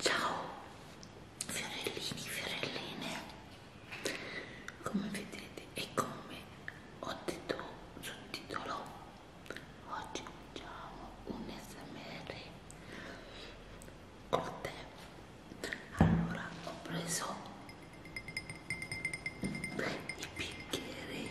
Ciao fiorellini, fiorelline, come vedete e come ho detto sul titolo, oggi facciamo un smr col tè. Allora ho preso i bicchieri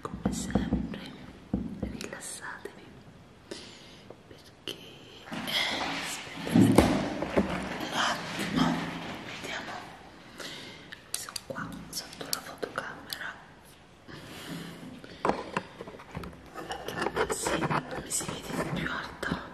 come sempre rilassatevi perché aspettate un attimo vediamo sono qua sotto la fotocamera perché così mi si vede più alta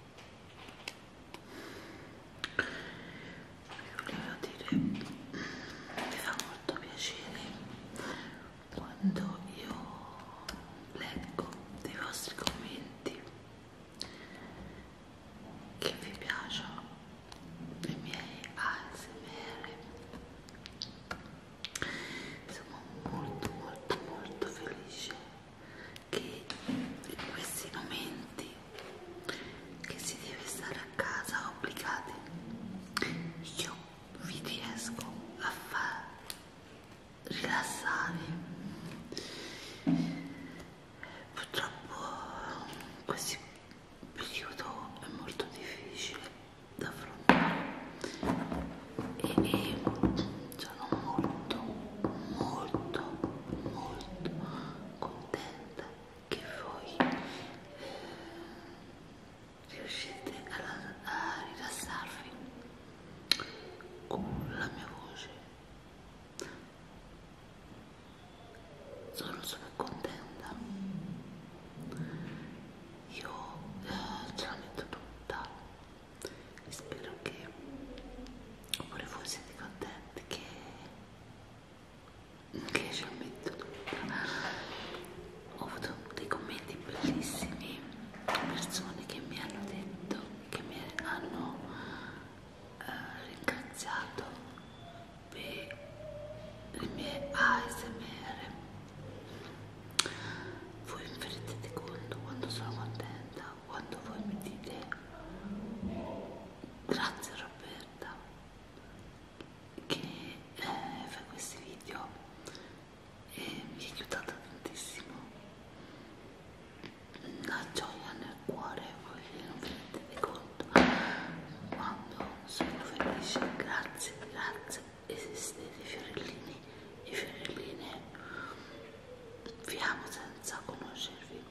vi volevo dire mi fa molto piacere quando io leggo dei vostri commenti che vi piacciono i miei ASMR sono molto molto molto felice che in questi momenti che si deve stare a casa obbligati io vi riesco a far rilassare purtroppo questo periodo è molto difficile da affrontare e, e sono molto molto molto contenta che voi riuscite a, a rilassarvi con la mia voce sono super contenta io eh, ce la metto tutta e spero che pure voi siete contenti che, che ci ho messo tutta ho avuto dei commenti bellissimi persone che mi hanno detto che mi hanno eh, ringraziato per le mie ASMR voi vi rendete conto quando sono contenta quando voi mi dite grazie Roberta che eh, fai questi video e mi ha aiutata tantissimo la gioia nel cuore voi non vi rendete conto quando sono felice grazie grazie esistete fiorellini e fiorelline vi amo senza conoscervi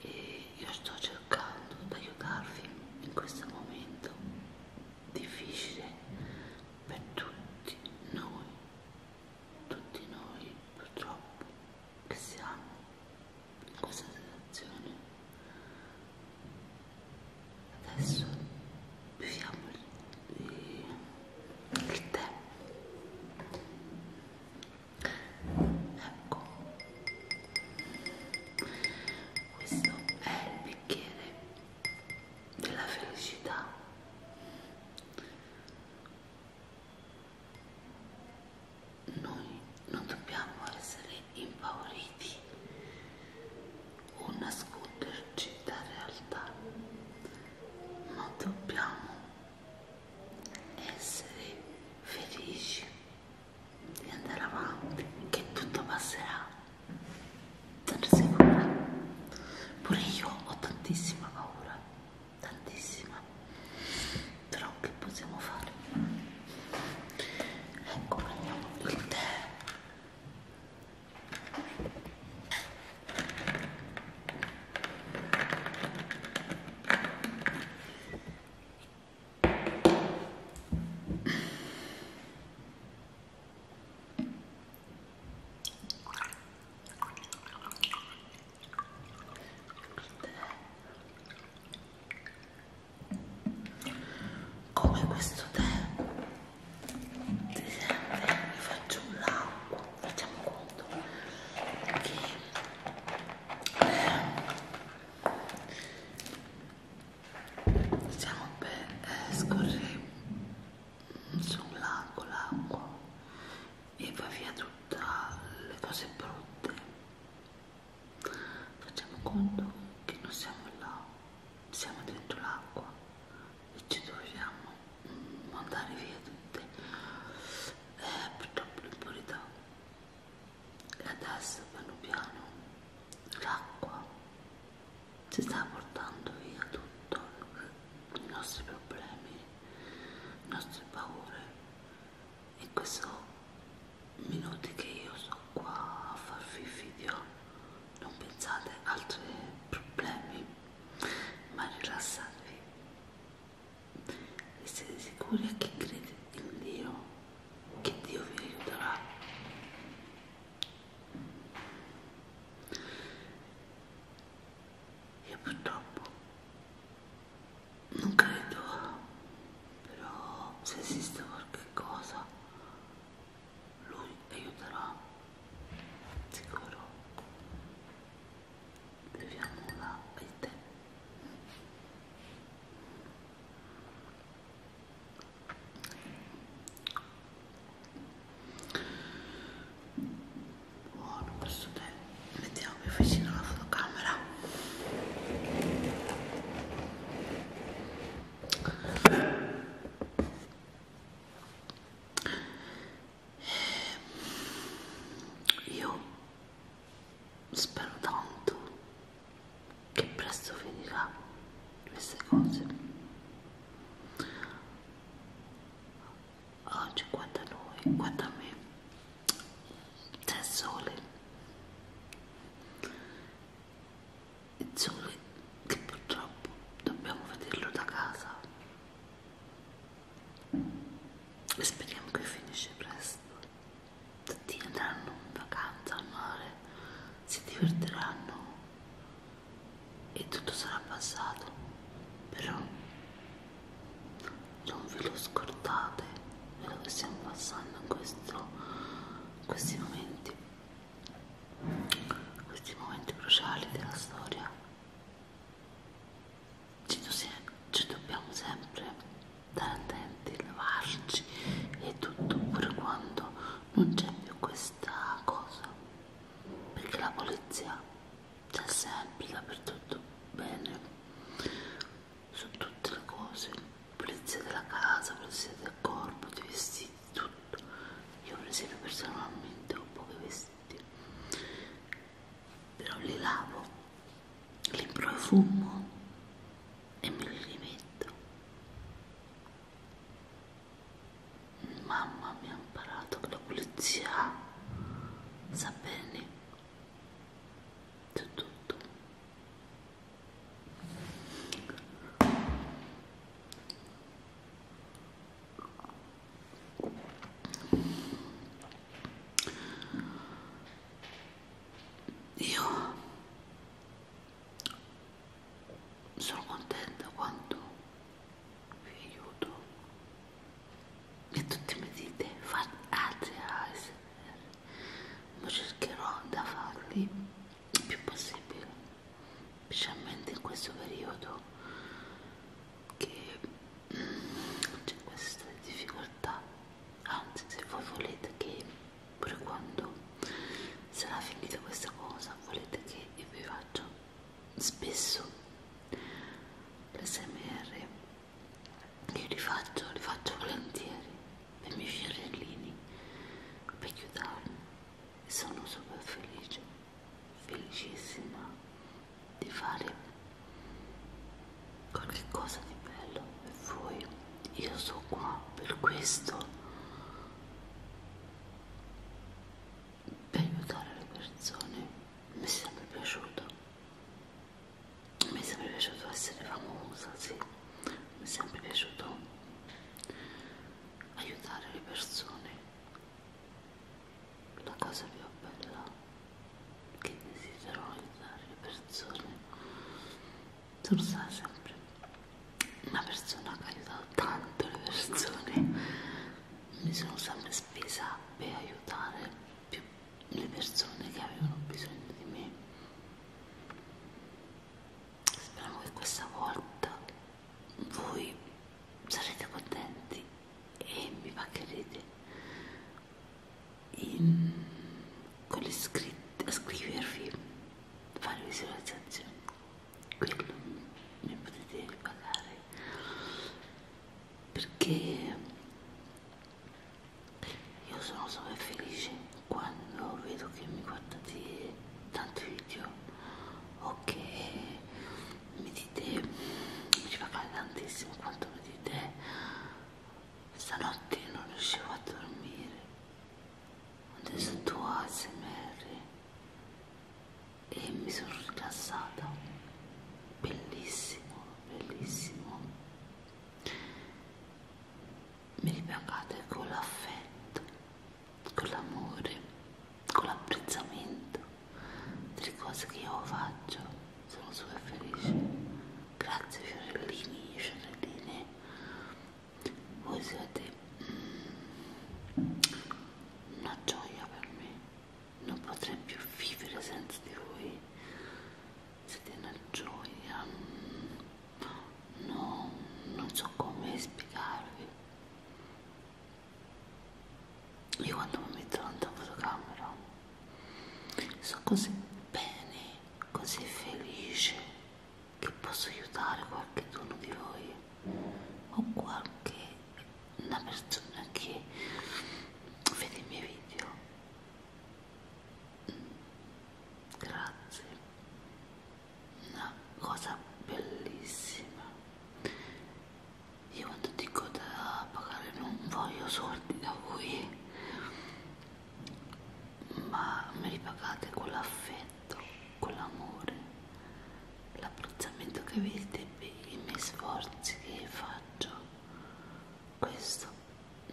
e io sto cercando di aiutarvi in questo momento difficile per tutti noi tutti noi purtroppo che siamo in questa situazione adesso beviamo il, il tè ecco questo è il bicchiere della felicità noi non dobbiamo essere impauriti o nasconderci da realtà, ma dobbiamo essere felici di andare avanti, che tutto passerà. Sono sicura. Pure io ho tantissima paura, tantissima. Però che possiamo fare? Ecco, prendiamo il tè come questo tè dicembre mi faccio un lago facciamo conto che diciamo per eh, scorrere su un lago l'acqua e va via tutte le cose brutte facciamo conto che non siamo là siamo dentro l'acqua ci dovevamo mandare mm, via tutte eh, purtroppo l'impurità e adesso piano piano l'acqua si sta portando via tutto eh, i nostri problemi le nostre paure e questo minuti che io sono qua a farvi video non pensate altri problemi ma rilassatevi e siete sicuri che credete in Dio che Dio vi aiuterà io purtroppo non credo però se esiste qualche cosa lui aiuterà sicuro beviamola il tè buono questo tè mettiamo più vicino alla fotocamera e io spero tanto che presto finirà queste cose. Oggi guarda noi, guarda me, c'è sole il sole che purtroppo dobbiamo vederlo da casa e speriamo che finisce presto tutti andranno in vacanza al mare si divertiranno e tutto sarà passato però non ve lo scordate quello che stiamo passando in questo, questi momenti questi momenti cruciali della storia ci, do se ci dobbiamo sempre stare attenti, lavarci e tutto pure quando non c'è più questa cosa perché la polizia c'è sempre dappertutto bene su tutte le cose polizia della casa, polizia del corpo, dei vestiti tutto io presino personalmente ho poche vestiti però li lavo li profumo e me li rimetto mamma mi ha imparato che la pulizia sa bene di tutto io sono contenta quando vi aiuto e tutti mi dite fate altri ASMR, ma cercherò da farli più possibile, specialmente in questo periodo che mm, c'è questa difficoltà, anzi se voi volete che pure quando sarà finita questa cosa volete che io vi faccia spesso l'SMR che li faccio, li faccio volentieri per i miei fiorellini per chiuderli sono super felice, felicissima di fare qualche cosa di bello per voi. Io sono qua per questo, per aiutare le persone. Mi è sempre piaciuto, mi è sempre piaciuto essere famosa, sì, mi è sempre piaciuto aiutare le persone. La cosa più bella che desidero aiutare le persone. Sono stata sempre una persona che ha aiutato tanto le persone. Mi sono sempre spesa per aiutare più le persone che avevano bisogno di me speriamo che questa volta voi sarete contenti e mi pagherete in, con le scritte a scrivervi fare visualizzazioni quello mi potete pagare perché io sono super felice quando vedo che mi guardate tanti video o che mi dite mi ci paga tantissimo quanto mi dite stanotte non riuscivo a dormire adesso tu ASMR e mi sono rilassata bellissimo bellissimo mi ripagate con l'affetto con l'amore, con l'apprezzamento delle cose che io faccio, sono super felice. Grazie fiorellini, fiorelline, voi siete mm, una gioia per me, non potrei più vivere senza di voi, siete una gioia. Mm, no, non so come spiegarvi io quando mi metto davanti alla fotocamera sono così bene così felice che posso aiutare qualche dono di voi o qualche una persona che vede i miei video grazie una cosa bellissima io quando dico da pagare non voglio soldi da voi ma mi ripagate quell'affetto quell'amore l'apprezzamento che avete per i miei sforzi che faccio questo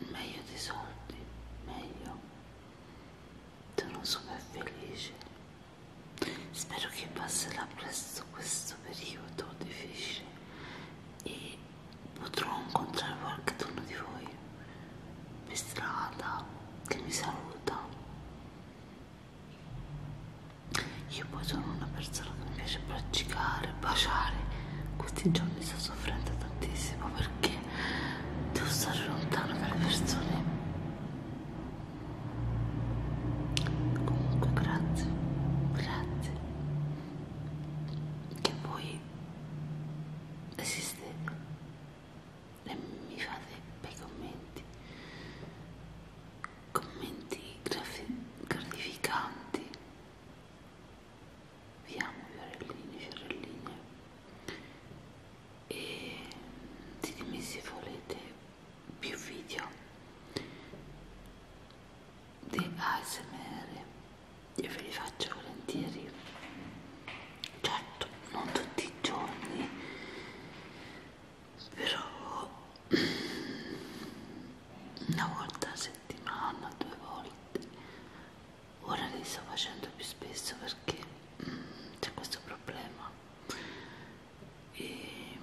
meglio dei soldi meglio non sono felice spero che passerà presto questo periodo difficile e potrò incontrare qualcuno di voi per strada che mi saluta io poi sono una persona che mi piace praticare, baciare questi giorni sto soffrendo tantissimo perché perché devo stare lontano dalle persone comunque grazie grazie che voi esistete e mi fate bei commenti commenti gratificanti vi amo fiorellini fiorelline e ditemi se volete più video di ASMR io ve li faccio volentieri certo non tutti i giorni però una volta a settimana due volte ora li sto facendo più spesso perché mm, c'è questo problema e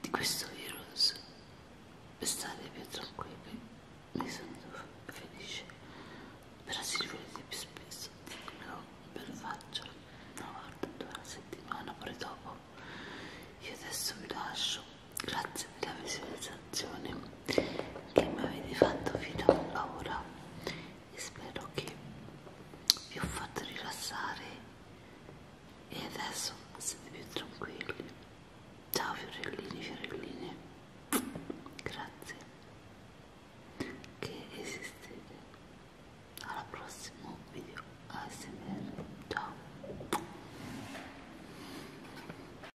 di questo virus per stare più tranquilli mi sento felice però se li volete più spesso no, ve lo faccio una volta due alla settimana pure dopo io adesso vi lascio grazie per la visione canzone che mi avete fatto fino a ora e spero che vi ho fatto rilassare e adesso siete più tranquilli ciao fiorellini fiorelline grazie che esistete al prossimo video ASMR ciao